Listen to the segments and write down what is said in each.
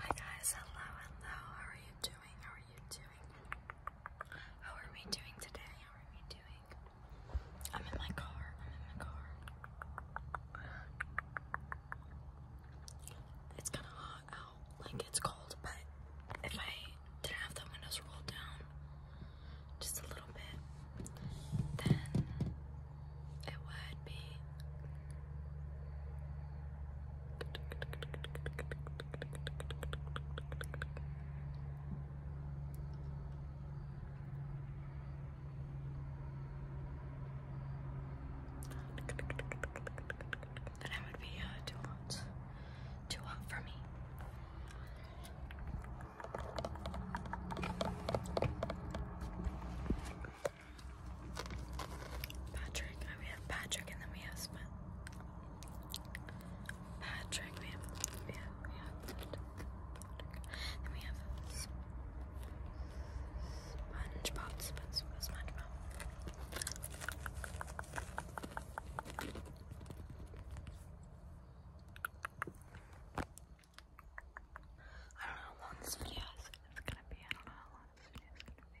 Hi guys, hello, hello. How are you doing? How are you doing? How are we doing today? How are we doing? I'm in my car. I'm in my car. It's kind of hot out. Like it's cold, but if I didn't have the windows rolled down just a little bit, then it would be. And I would be uh, too hot, too hot for me. Patrick. we have Patrick and then we have Smith. Patrick, we have, we I don't know how long this video is gonna be. I don't know how long this video is gonna be.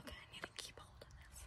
Okay, I need to keep hold of this.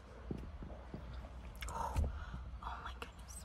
Oh, oh my goodness.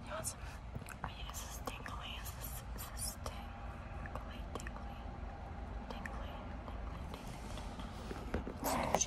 I mean, is this tingly? Is this, is this tingly, tingly, tingly, tingly, tingly, tingly.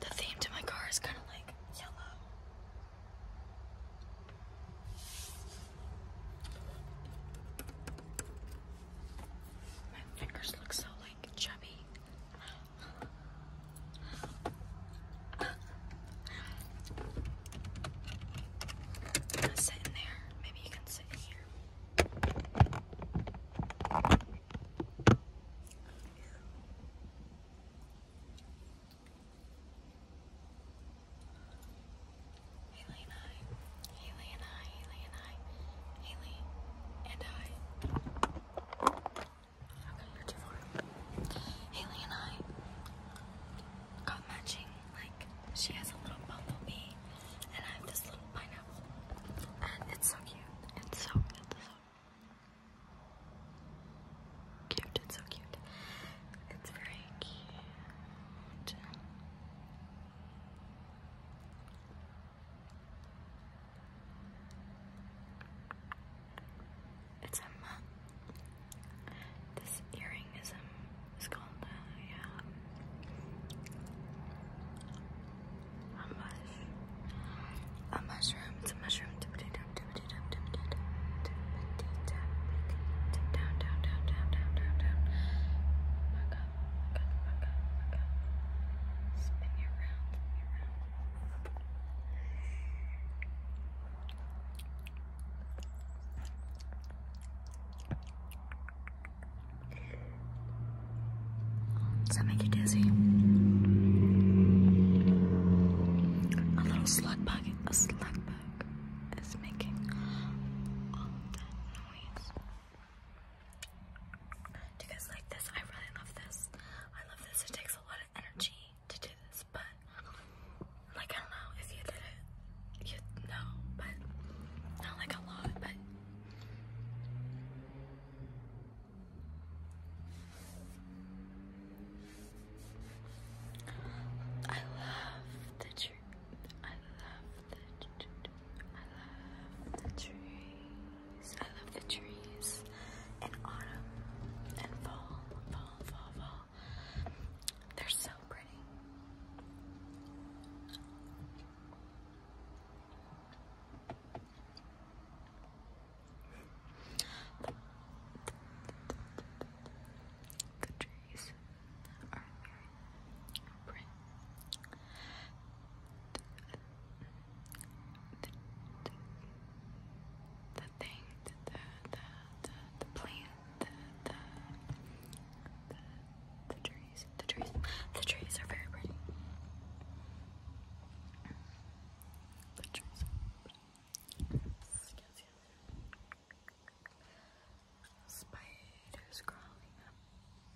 The theme to my car is kind of like yellow. My fingers look so like chubby i sit in there. Maybe you can sit here. Haley and I, Haley and I, Haley and I, Haley and I. Okay, you're too far. Haley and I got matching. Like, she has a little bumblebee, and I have this little pineapple. And it's so cute. It's so, it's so cute. It's so cute. It's very cute. Okay. It's um, this earring is um, it's called, uh, yeah, a mush, a mushroom, it's a mushroom, down, down, down, down, down, down, down, down, up, back up, back up, back up, spin you around, does that make you dizzy? A little slug bug, a slug bug is making all that noise. Do you guys like this? I really love this. I love this. It takes a lot of energy to do this, but like I don't know if you did it, you know, but not like a lot, but I love the tree. I love the tree. I love the tree. I love the trees and autumn and fall, fall, fall, fall. They're so pretty. the trees are very pretty the, thing, the, the, the, the plant, the, the, the trees, the trees, the trees are very pretty. The trees Spiders crawling up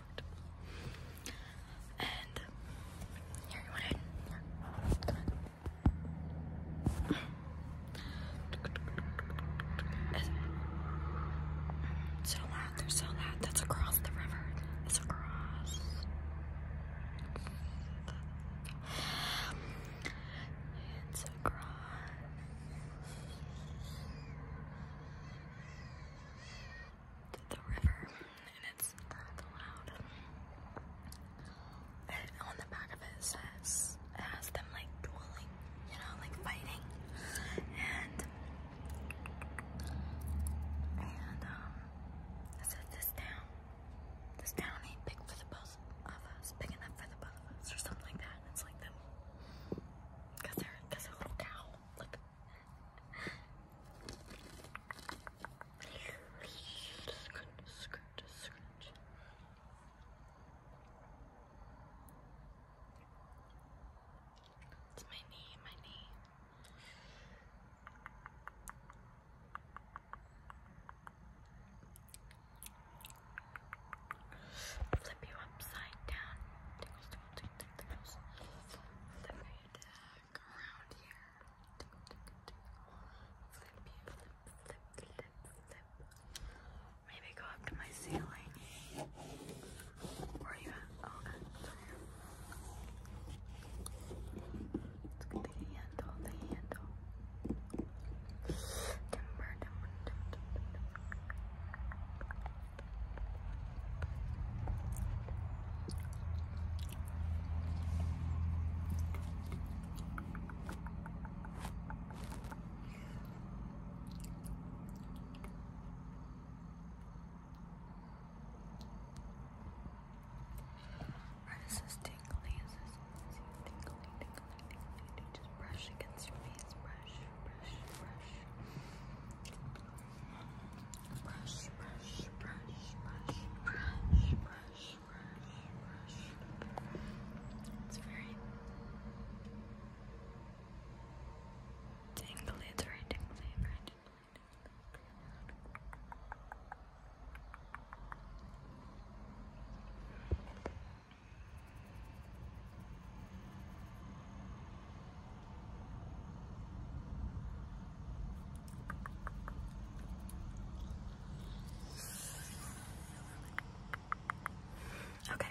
comfortable. And here you want it. Come on. Mm, so loud, they're so loud. That's across the river. It's across. It's across. The river, and it's not loud. And on the back of it says it has them like dueling, you know, like fighting. And and um I this town. This town ain't big for the both of us, big enough for the both of us or something like that. It's like them because they're little cow. Like Scratch, scratch, scratch. It's my knee, my knee. Flip you upside down. Tickles, tickles, tickles, tickles. Flip deck around here. Maybe go up to my ceiling. Where are oh, okay. Let's get the handle, the handle. This is tingly, this is tingly, tingly, tingly, just brush against your face, brush, brush, brush brush, brush, brush, brush, It's very tingly, it's very tingly. Okay.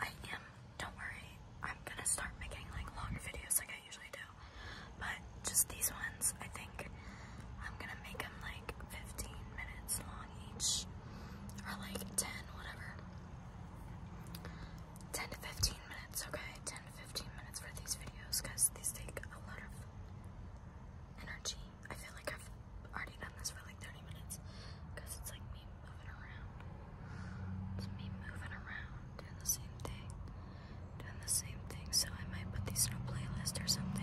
I am, don't worry, I'm gonna start making like longer videos like I usually do. But just these ones, I think I'm gonna make them like 15 minutes long each, or like 10, whatever. 10 to 15 minutes, okay? 10 to 15 minutes for these videos because these take a lot of energy. I feel like I've already done this for like 30 minutes because it's like me moving around. It's me moving around, doing the same thing, doing the same thing. So I might put these in a playlist or something.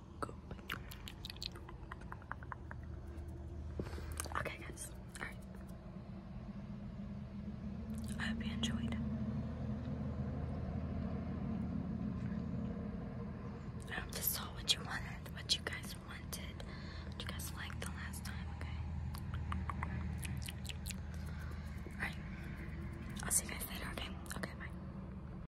Okay, guys. All right. I hope you enjoyed. I hope this saw what you wanted, what you guys wanted, what you guys liked the last time, okay? Alright. I'll see you guys later, okay? Okay, bye.